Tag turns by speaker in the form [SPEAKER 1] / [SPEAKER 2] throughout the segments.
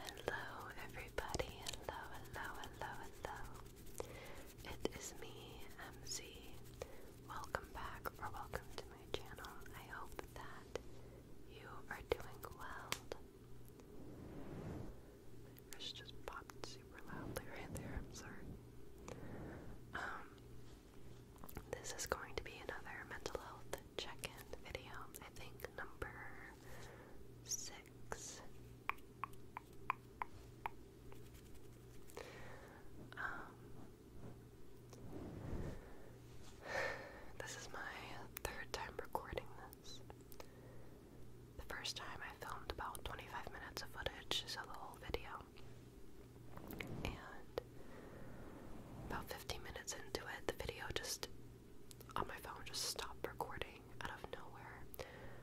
[SPEAKER 1] Hello, everybody. Hello, hello, hello, hello. It is me, MZ. Welcome back or welcome to my channel. I hope that you are doing well. My fish just popped super loudly right there. I'm sorry. Um, this is going to be another mental health check-in video. I think number six. Um, this is my third time recording this. The first time I filmed about 25 minutes of footage, so the whole video. And about 15 minutes into it, the video just on my phone just stopped recording out of nowhere.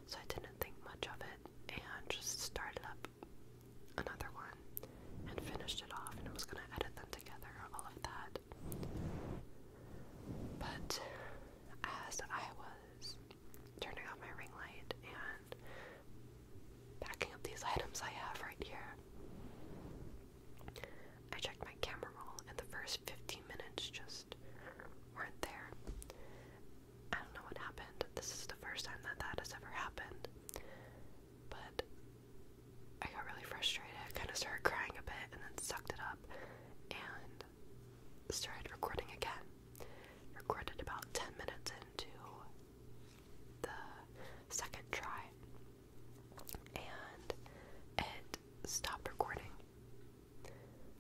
[SPEAKER 1] So I didn't think much of it and just started up another one and finished it off and I was gonna edit them together, all of that. But as I was turning off my ring light and packing up these items I have right here, I checked my camera roll, and the first 15 minutes just weren't there. I don't know what happened. This is the first time that that has ever happened. But I got really frustrated, kind of started crying a bit, and then sucked it up and started recording again. Recorded about 10 minutes into the second try and it stopped recording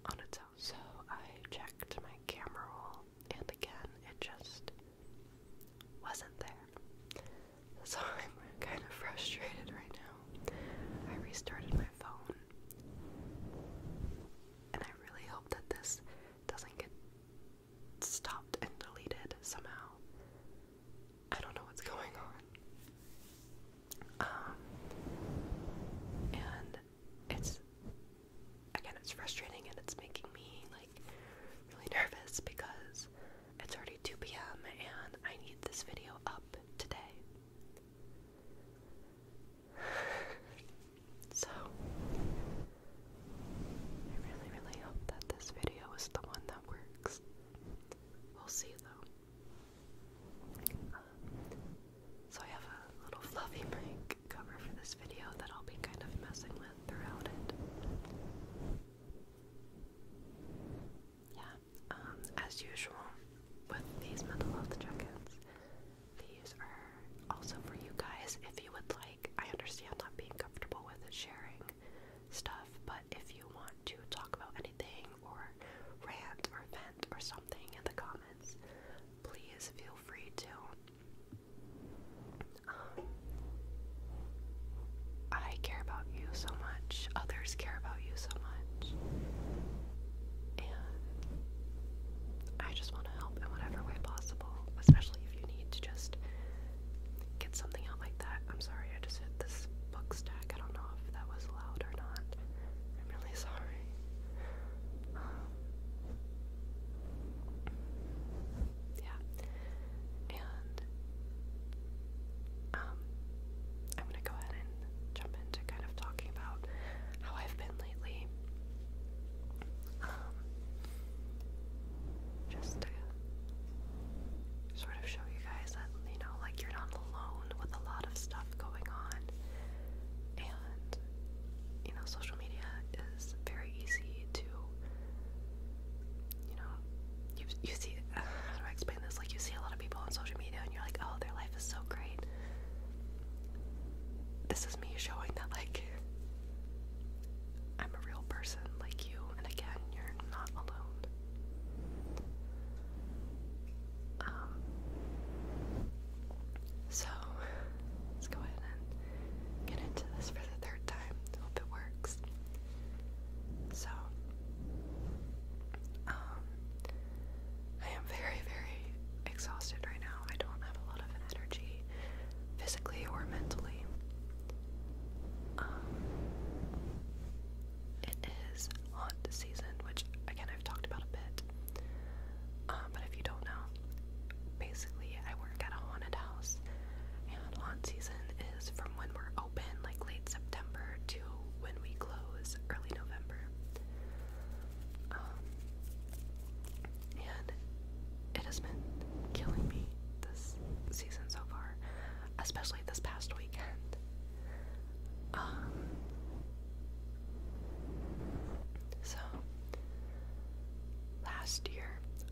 [SPEAKER 1] on its own. So I checked my camera roll, and again, it just wasn't there. So I'm kind of frustrated right now. I restarted my phone, and I really hope that this doesn't get stopped and deleted somehow. I don't know what's going on. Um, and it's again, it's frustrating and it's making me like really nervous because it's already 2 p.m. and I need this video up today. so, I really, really hope that this video is the one that works. We'll see though. Um, so I have a little fluffy prank cover for this video that I'll be kind of messing with throughout it. Yeah, um, as usual with these mental health check these are also for you guys if you would like. I understand not being comfortable with sharing stuff, but if you want to talk about anything or rant or vent or something in the comments, please feel free to. Um, I care about you so much. Others care about you so much. And I just want to help in whatever way possible, especially if you need to just get something out like that. I'm sorry, I just hit this book stack. I don't know if that was allowed or not. I'm really sorry. yeah. And um I'm gonna go ahead and jump into kind of talking about how I've been lately. Um, just to sort of show you guys that, you know, like you're not alone with a lot of stuff going on. And, you know, social media is very easy to, you know, you, you see, how do I explain this? Like, you see a lot of people on social media and you're like, oh, their life is so great. This is me showing that, like, I'm a real person like you, and again, you're not alone. Um, so, let's go ahead and get into this for the third time. Hope it works. So, um, I am very, very exhausted right now. I don't have a lot of energy physically or mentally. Um, it is haunt season, which again I've talked about a bit. Um, but if you don't know, basically I work at a haunted house, and haunt season is from when we're open, like late September, to when we close, early November. Um, and it has been killing me this season so far especially this past weekend. Um, so, last year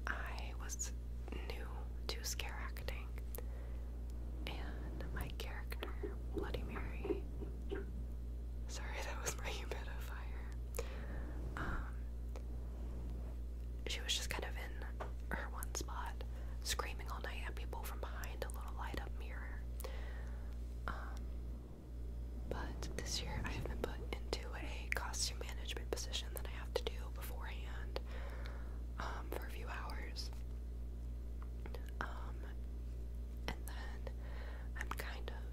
[SPEAKER 1] I was new to scare acting, and my character, Bloody Mary, sorry that was my humidifier, um, she was just kind of in her one spot, screaming all night at people from behind a little light up mirror. Um, but this year I have been put into a costume management position that I have to do beforehand um, for a few hours. Um, and then I'm kind of,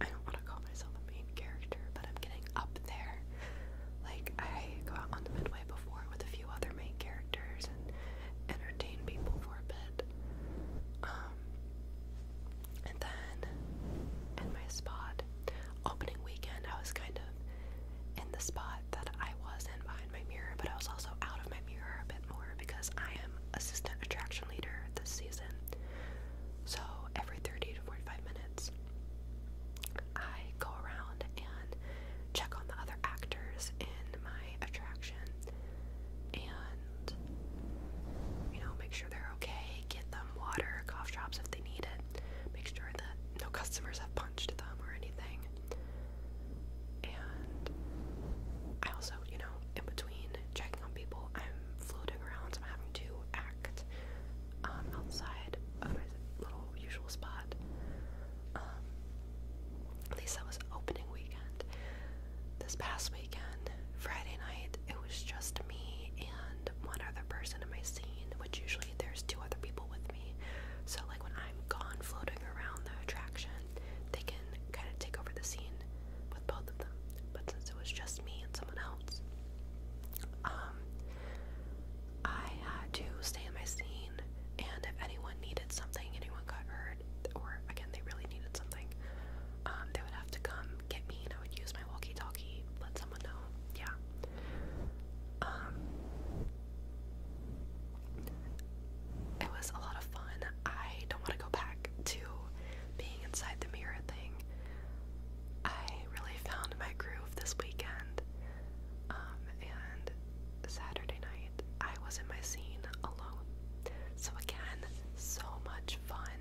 [SPEAKER 1] I don't want to call myself a main character, but I'm getting up there like, I go out on the midway before with a few other main characters and entertain people for a bit. Um, and then, in my spot, opening weekend, I was kind of in the spot that I was in behind my mirror, but I was also out of my mirror a bit more because I am assistant attraction leader this season. So every 30 to 45 minutes, I go around and check on the other actors in my attraction and, you know, make sure they're okay, get them water, cough drops if they need it, make sure that no customers have punched them or anything. And I also, you know, in between checking on people, I'm floating around, so I'm having to act um, outside of my little usual spot. at least that was opening weekend. This past weekend, Friday night, it was just me and one other person in my scene, which usually there's two other people with me. So, like, when I'm gone floating around the attraction, they can kind of take over the scene with both of them. But since it was just me and someone else, um, I had to stay in my scene, and if anyone needed something, anyone got hurt, or again, they really needed something, um, they would have to come get me, and I would use my walkie-talkie, let someone know. Yeah. Um, it was a lot of fun. I don't want to go back to being inside the mirror thing. I really found my groove this weekend. Um, and Saturday night, I was in my scene alone. So, again, so much fun.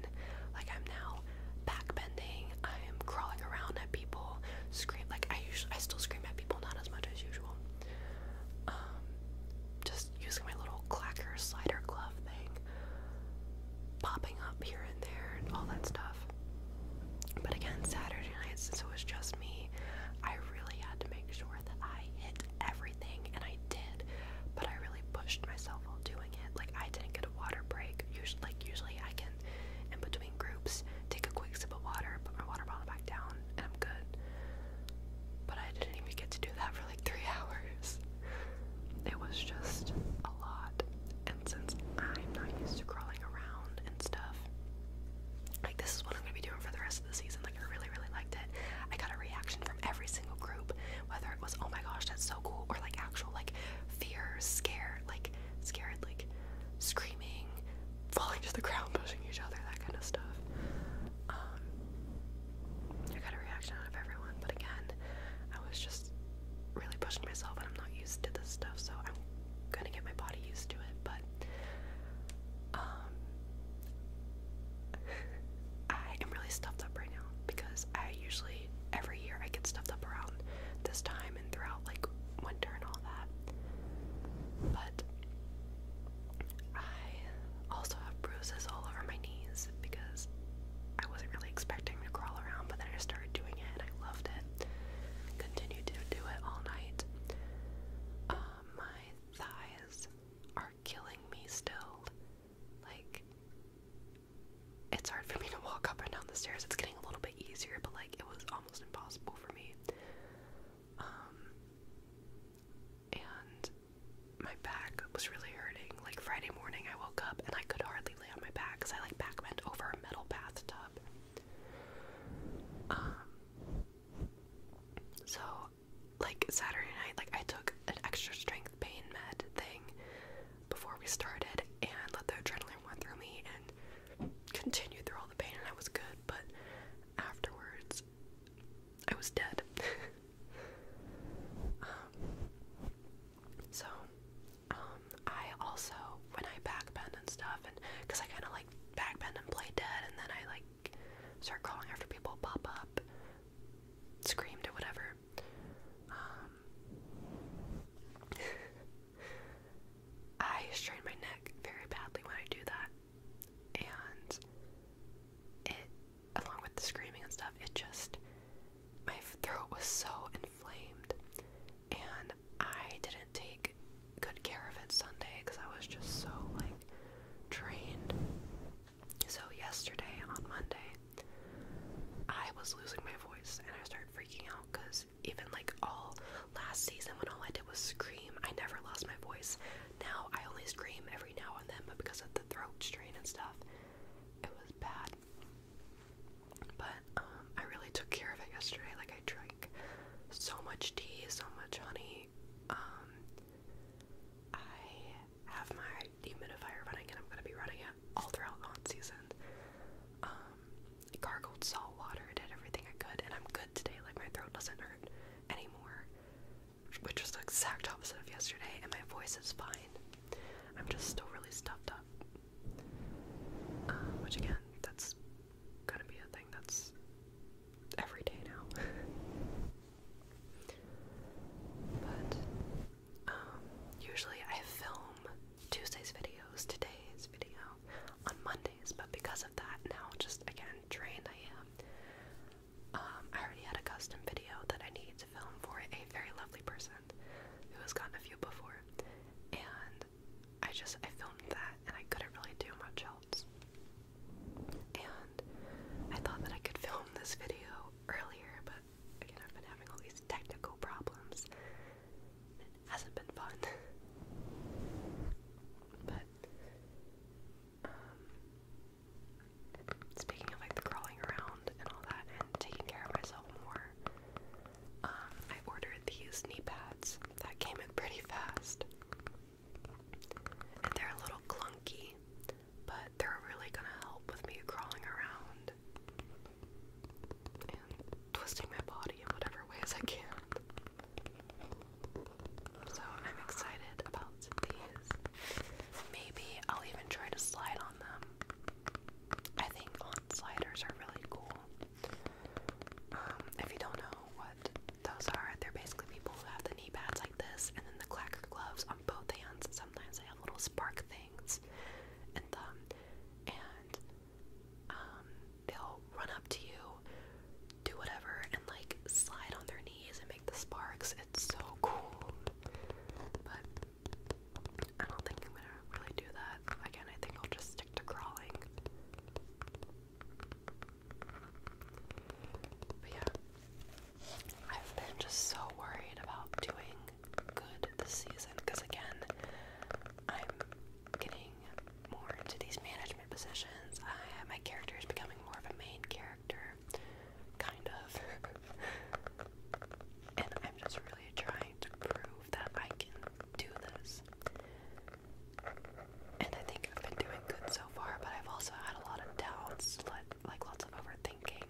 [SPEAKER 1] Like, I'm now back bending. I'm crawling around at people, scream. Like, I usually, I still scream at people, not as much as usual. Um, just using my little clacker slider glove thing popping up here and there and all that stuff. But again, Saturday night, since it was just me, I really had to make sure that I hit everything, and I did. But I really pushed myself while doing it. Like I didn't get a water break. Usually, like usually I can, in between groups, take a quick sip of water, put my water bottle back down, and I'm good. But I didn't even get to do that for like three hours. It was just a lot. And since I'm not used to crawling around and stuff, like this is what I'm gonna be doing for the rest of the season. Like I really, really liked it. I got a reaction from every single group, whether it was oh my gosh, that's so cool, or like actual like fear, scared, like scared, like screaming, falling to the ground, pushing each other, that kind of stuff. Um I got a reaction out of everyone, but again, I was just just really pushing myself and I'm not used to this stuff, so I'm gonna get my body used to it, but um, I am really stuffed up right now because I usually every year I get stuffed up around this time and throughout like winter and all that. But I also have bruises all over my knees because I wasn't really expecting to crawl around, but then I started doing it and I loved it it. to do it all night. Um, my thighs are killing me still. Like, it's hard for me to walk up and down the stairs. It's getting a little bit easier, but like, it was almost impossible for me. Um, and my back was really hurting. Like, Friday morning, I woke up and I could hardly on my back because I like back bent over a metal bathtub. Um, so like Saturday night, like I took an extra strength pain med thing before we started and let the adrenaline run through me and continued through all the pain and I was good, but afterwards I was dead. Um, so um, I also when I back bend and stuff, and because I kind of like back bend and play dead, and then I like start crawling after people, pop up, screamed or whatever. Um, I strain my neck very badly when I do that, and it, along with the screaming and stuff, it just my throat was so inflamed, and I didn't take good care of it Sunday because I was just so like drained. So, yesterday on Monday, I was losing my voice and I started freaking out because even like all last season when all I did was scream, I never lost my voice. Now I only scream every now and then, but because of the throat strain and stuff, it was bad. But um, I really took care of it yesterday. Like I drank so much tea, so much honey. Um, I have my dehumidifier running, and I'm gonna be running it all throughout hot season. Um, I gargled salt water, did everything I could, and I'm good today. Like my throat doesn't hurt anymore, which was the exact opposite of yesterday. And my voice is fine. I'm just still really stuffed up. Uh, which again, that's gonna be a thing that's every day now. but um, usually I film Tuesday's videos, today's video on Mondays, but because of that, now just again drained I am. Um, I already had a custom video that I need to film for a very lovely person who has gotten a few before and I just I filmed that and I couldn't really do much else. And I thought that I could film this video earlier, but again I've been having all these technical problems. It hasn't been fun. but um, speaking of like the crawling around and all that, taking care of myself more. Um, I ordered these knee pads that came in pretty fast. And they're a little clunky, but they're really gonna help with me crawling around and twisting my body in whatever ways I can. So I'm excited about these. Maybe I'll even try to slide on them. I think sliders are really cool. Um, if you don't know what those are, they're basically people who have the knee pads like this, and then the clacker gloves on both hands. Sometimes they have little spark things in them, and um, they'll run up to you, do whatever, and like slide on their knees and make the sparks. It's so cool. But I don't think I'm gonna really do that. Again, I think I'll just stick to crawling. But yeah, I've been just so worried about doing good this season because, again, I'm getting more into these management positions. I, my character is becoming more of a main character, kind of. and I'm just really trying to prove that I can do this. And I think I've been doing good so far, but I've also had a lot of doubts, like lots of overthinking.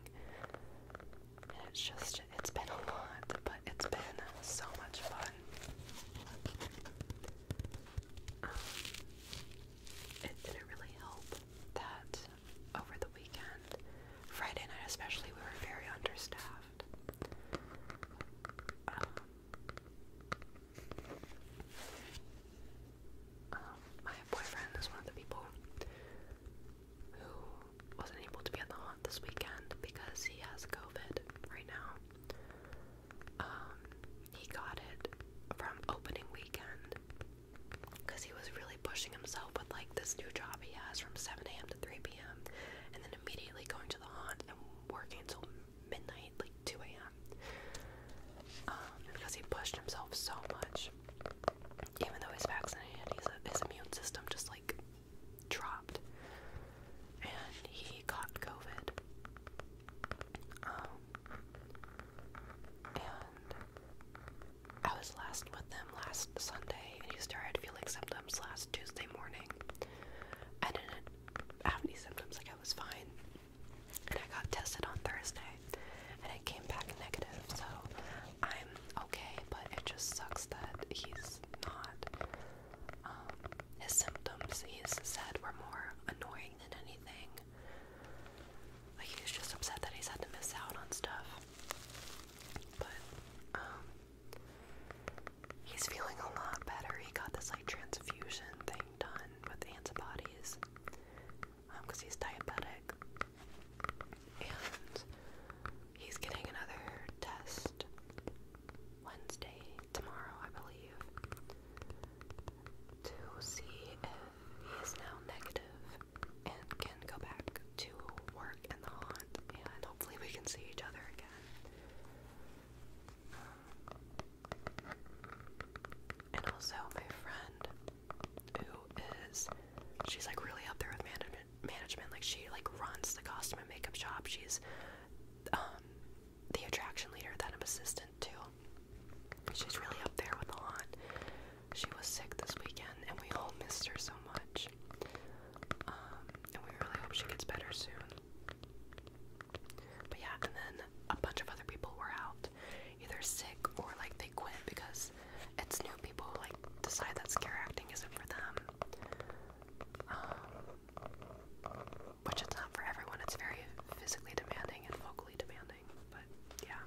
[SPEAKER 1] And it's just, it's been a lot, but it's been so much fun. Um, it didn't really help that over the weekend. Friday night especially, we were very understaffed. Um, um, my boyfriend is one of the people who wasn't able to be at the haunt this weekend because he has COVID right now. Um, he got it from opening weekend because he was really pushing himself with like this new job he has from 7 a.m. to 3 p.m. and then immediately going to the haunt and working until midnight, like 2 a.m. because um, he pushed himself so much, even though he's vaccinated, his immune system just like dropped, and he caught COVID. Um, and I was last with them last Sunday, and he started feeling symptoms last Tuesday morning. I didn't have any symptoms, like I was fine. And I got tested on Thursday, and it came back negative, so I'm okay, but it just sucks that he's not. Um, his symptoms, he's said, were more annoying than anything. Like, he was just upset that he's had to miss out on stuff. But um he's feeling a lot better. He got this like transfusion thing done with antibodies. Um, cuz he's diabetic. And he's getting another test Wednesday tomorrow, I believe. To see if he is now negative and can go back to work in the haunt, and hopefully we can see each other again. Um, and also, my friend, who is, she's like really up there with management. Management, like she like runs the costume and makeup shop. She's um, the attraction leader that I'm assistant to. She's really up there with the lot. She was sick this weekend, and we all missed her so much. Um, and we really hope she gets better soon. But yeah, and then a bunch of other people were out, either sick or like they quit because it's new people who like decide that scare acting isn't for them. Um, which it's not for everyone. It's very physically demanding and vocally demanding. But yeah,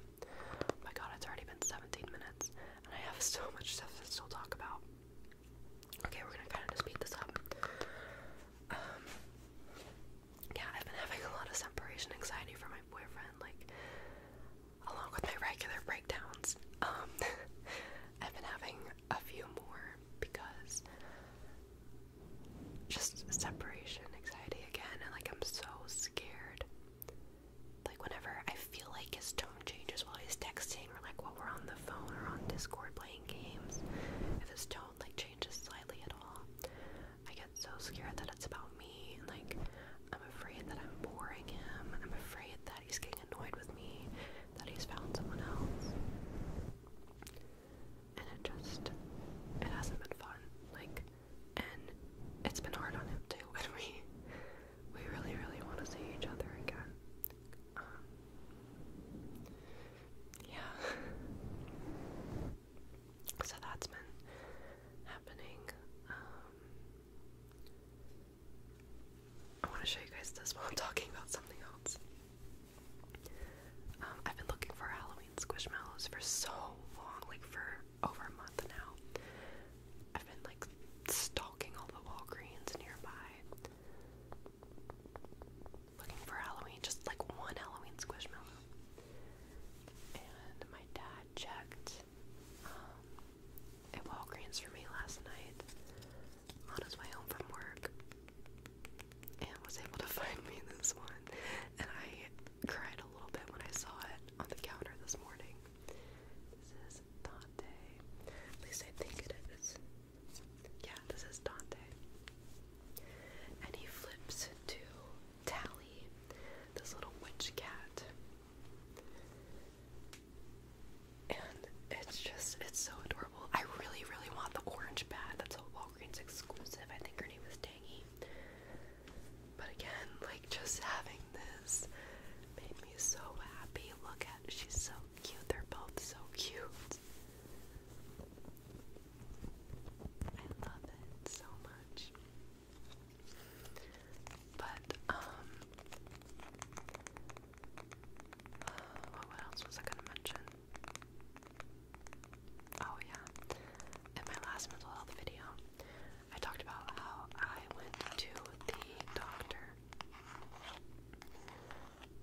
[SPEAKER 1] my God, it's already been 17 minutes. I have so much stuff to still talk about. Okay, we're gonna kind of just speed this up. Um, yeah, I've been having a lot of separation anxiety from my boyfriend, like, along with my regular breakdowns. Um, I've been having a few more because just separation anxiety again, and like, I'm so scared like whenever I feel like his tone changes while he's texting or like while we're on the phone or on Discord playing games, if his tone like changes slightly at all, I get so scared that it's about me and like I'm afraid that I'm boring him. I'm afraid that he's getting annoyed with me, that he's found someone else. And it just it hasn't been fun. Like and it's been hard on him too. And we we really really want to see each other again. Um, yeah. so that's been happening. Um, I want to show you guys this while I'm talking about something else. Um, I've been looking for Halloween squishmallows for so long, like for over a month now. I've been like stalking all the Walgreens nearby. Looking for Halloween, just like one Halloween squishmallow. And my dad checked um, at Walgreens for me last night on his way home from work and was able to find me this one. And I cried a little bit when I saw it on the counter this morning. This is Dante. At least I think it is. Yeah, this is Dante. And he flips to Tally, this little witch cat. And it's just, it's so adorable. I really, really want the orange bat. That's a Walgreens exclusive. I think her name is Tangy. But again, like just having this made me so happy. Look at she's so cute. They're both so cute. I love it so much. But um uh, what else was I gonna mention? Oh yeah. In my last mental health video, I talked about how I went to the doctor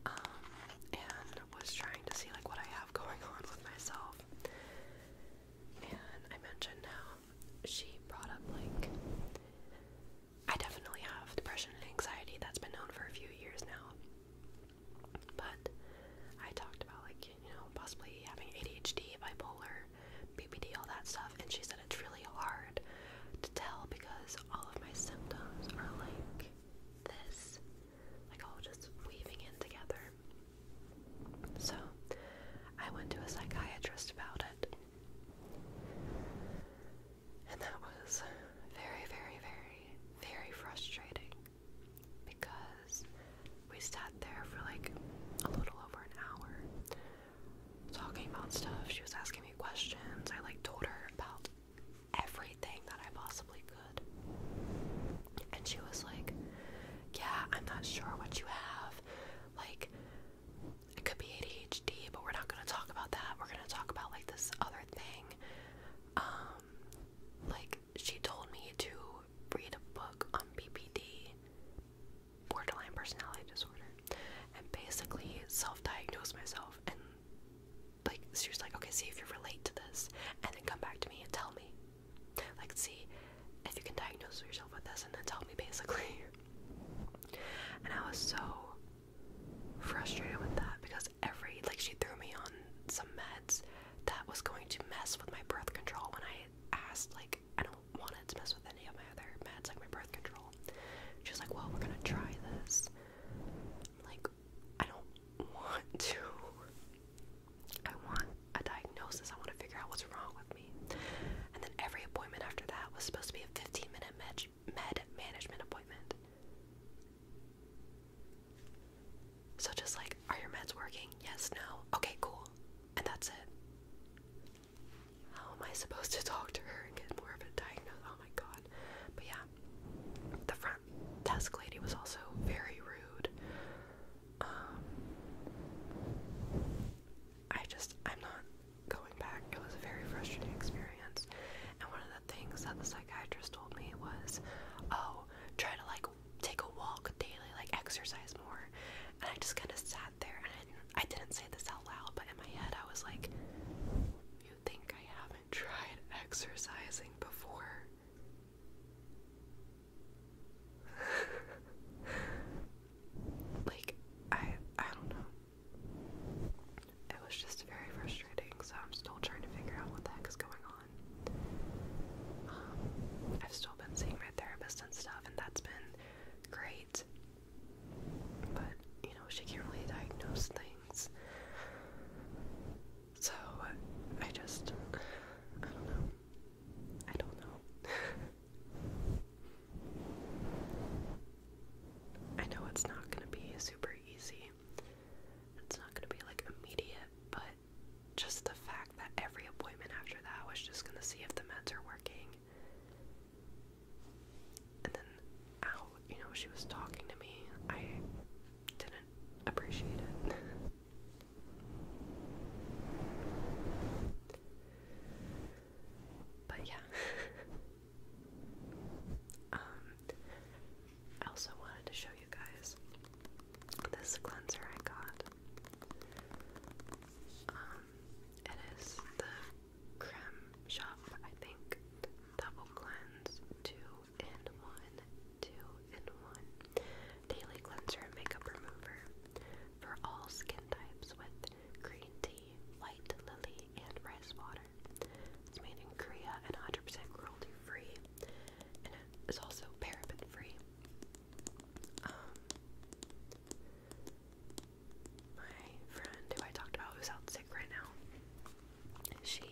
[SPEAKER 1] um, and was trying to see like what I have going on with myself. And I mentioned how she brought up like I definitely have depression and anxiety that's been known for a few years now. But I talked about like, like, you know, possibly having ADHD, bipolar, BPD, all that stuff. And she said it's really hard to tell because all of my symptoms are like this, like all just weaving in together. So I went to a psychiatrist about it. And that was very, very, very, very frustrating because we sat there for like a little over an hour talking about stuff. She was asking me questions. I like told her about everything that I possibly could. And she was like, Yeah, I'm not sure what you have. Like, it could be ADHD, but we're not gonna talk about that. We're gonna talk about like this other thing. Um, like, she told me to read a book on BPD borderline personality disorder and basically self diagnosed myself and like she was like okay see if you relate to this and then come back to me and tell me like see if you can diagnose yourself with this and then tell me basically and I was so frustrated with that because every like she threw me on some meds that was going to mess with my birth control when I asked like I don't want it to mess with any of my other meds, like my birth control. She like, well, we're gonna try this. like, I don't want to. I want a diagnosis. I want to figure out what's wrong with me. And then every appointment after that was supposed to be a 15 minute med, med management appointment. So just like, are your meds working? Yes, no. Okay, cool. And that's it. How am I supposed to talk to her and get more of a diagnosis? Oh my god. But yeah, the front desk lady was also very rude. Um, I just, I'm not going back. It was a very frustrating experience. And one of the things that the psychiatrist told me was, oh, try to like take a walk daily, like exercise more. And I just kind of sat there, and I didn't, say this out loud, but in my head I was like, "You think I haven't tried exercising before?" like I, I don't know. It was just very frustrating, so I'm still trying to figure out what the heck is going on. Um, I've still been seeing my therapist and stuff, and that's been great. But, you know, she can't really diagnose things. So, I just, I don't know. I don't know. I know it's not gonna be super easy. It's not gonna be like immediate, but just the fact that every appointment after that was just gonna see if the meds are working. And then, how you know, she was talking to me. I didn't appreciate it. but yeah. um, I also wanted to show you guys this cleanser I got. Um, it is the Creme Shop, I think. Double Cleanse, 2 in 1, 2 in 1. Daily Cleanser and Makeup Remover for all skin types with green tea, white lily, and rice water. It's made in Korea and 100% cruelty free, and it is also paraben free. Um, my friend who I talked about who's out sick right now, she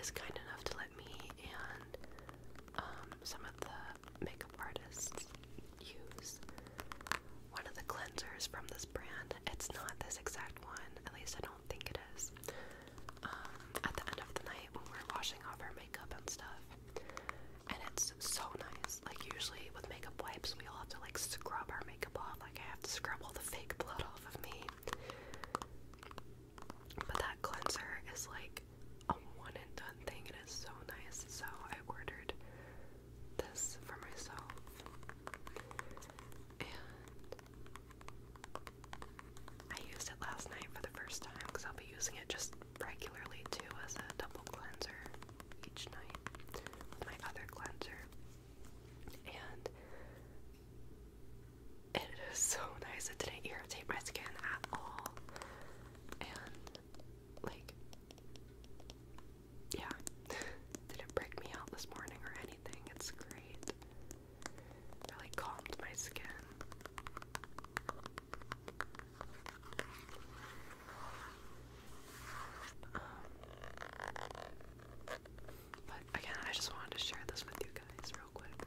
[SPEAKER 1] is kind enough to let me and um, some of the makeup artists use one of the cleansers from this brand. It's not this exact one, at least I don't think it is. Um, at the end of the night, when we're washing off our makeup and stuff, and it's so nice. Like usually with makeup wipes, we all have to like scrub our makeup off. Like I have to scrub all the fake blood off of me. But that cleanser is like a one and done thing. It is so nice. So I ordered this for myself. And I used it last night for the first time because I'll be using it just regularly too as a double cleanser each night with my other cleanser. And it is so nice. It didn't irritate my skin at all. And like yeah. didn't break me out this morning or anything. It's great. Really calmed my skin but again, I just wanted to share this with you guys real quick.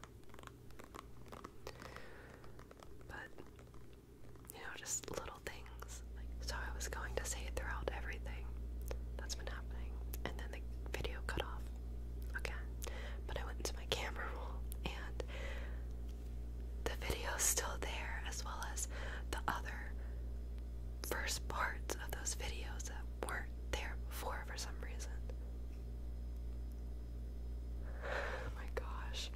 [SPEAKER 1] But, you know, just little things. so I was going to say it throughout everything that's been happening, and then the video cut off again. But I went into my camera roll and the video is still there, as well as the other first parts of those videos that weren't there before for some reason. Oh my gosh.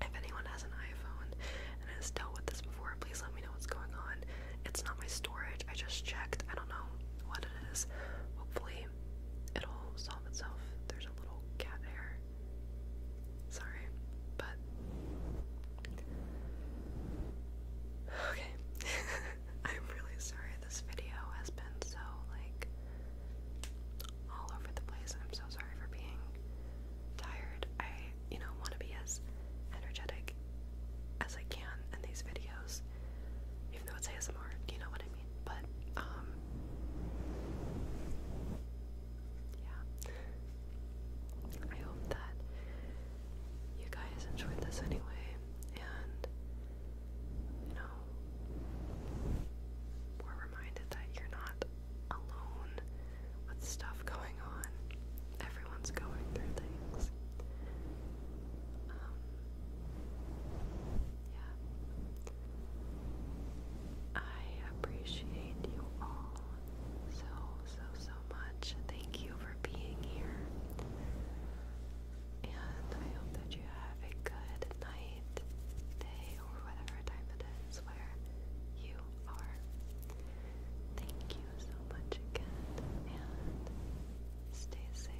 [SPEAKER 1] If anyone has an iPhone and has dealt with this before, please let me know what's going on. It's not my storage, I just checked. I don't know what it is. Hopefully, it'll solve itself. There's a little cat hair. Sorry, but. Okay. I'm really sorry this video has been so, like, all over the place. I'm so sorry for being tired. I, you know, want to be as energetic as I can in these videos, even though it's ASMR. you know what I but um, yeah. I hope that you guys enjoyed this anyway and you know we're reminded that you're not alone with stuff going on. Everyone's going through things. Um, yeah. I appreciate you all so, so, so much. Thank you for being here. And I hope that you have a good night, day, or whatever time it is where you are. Thank you so much again, and stay safe.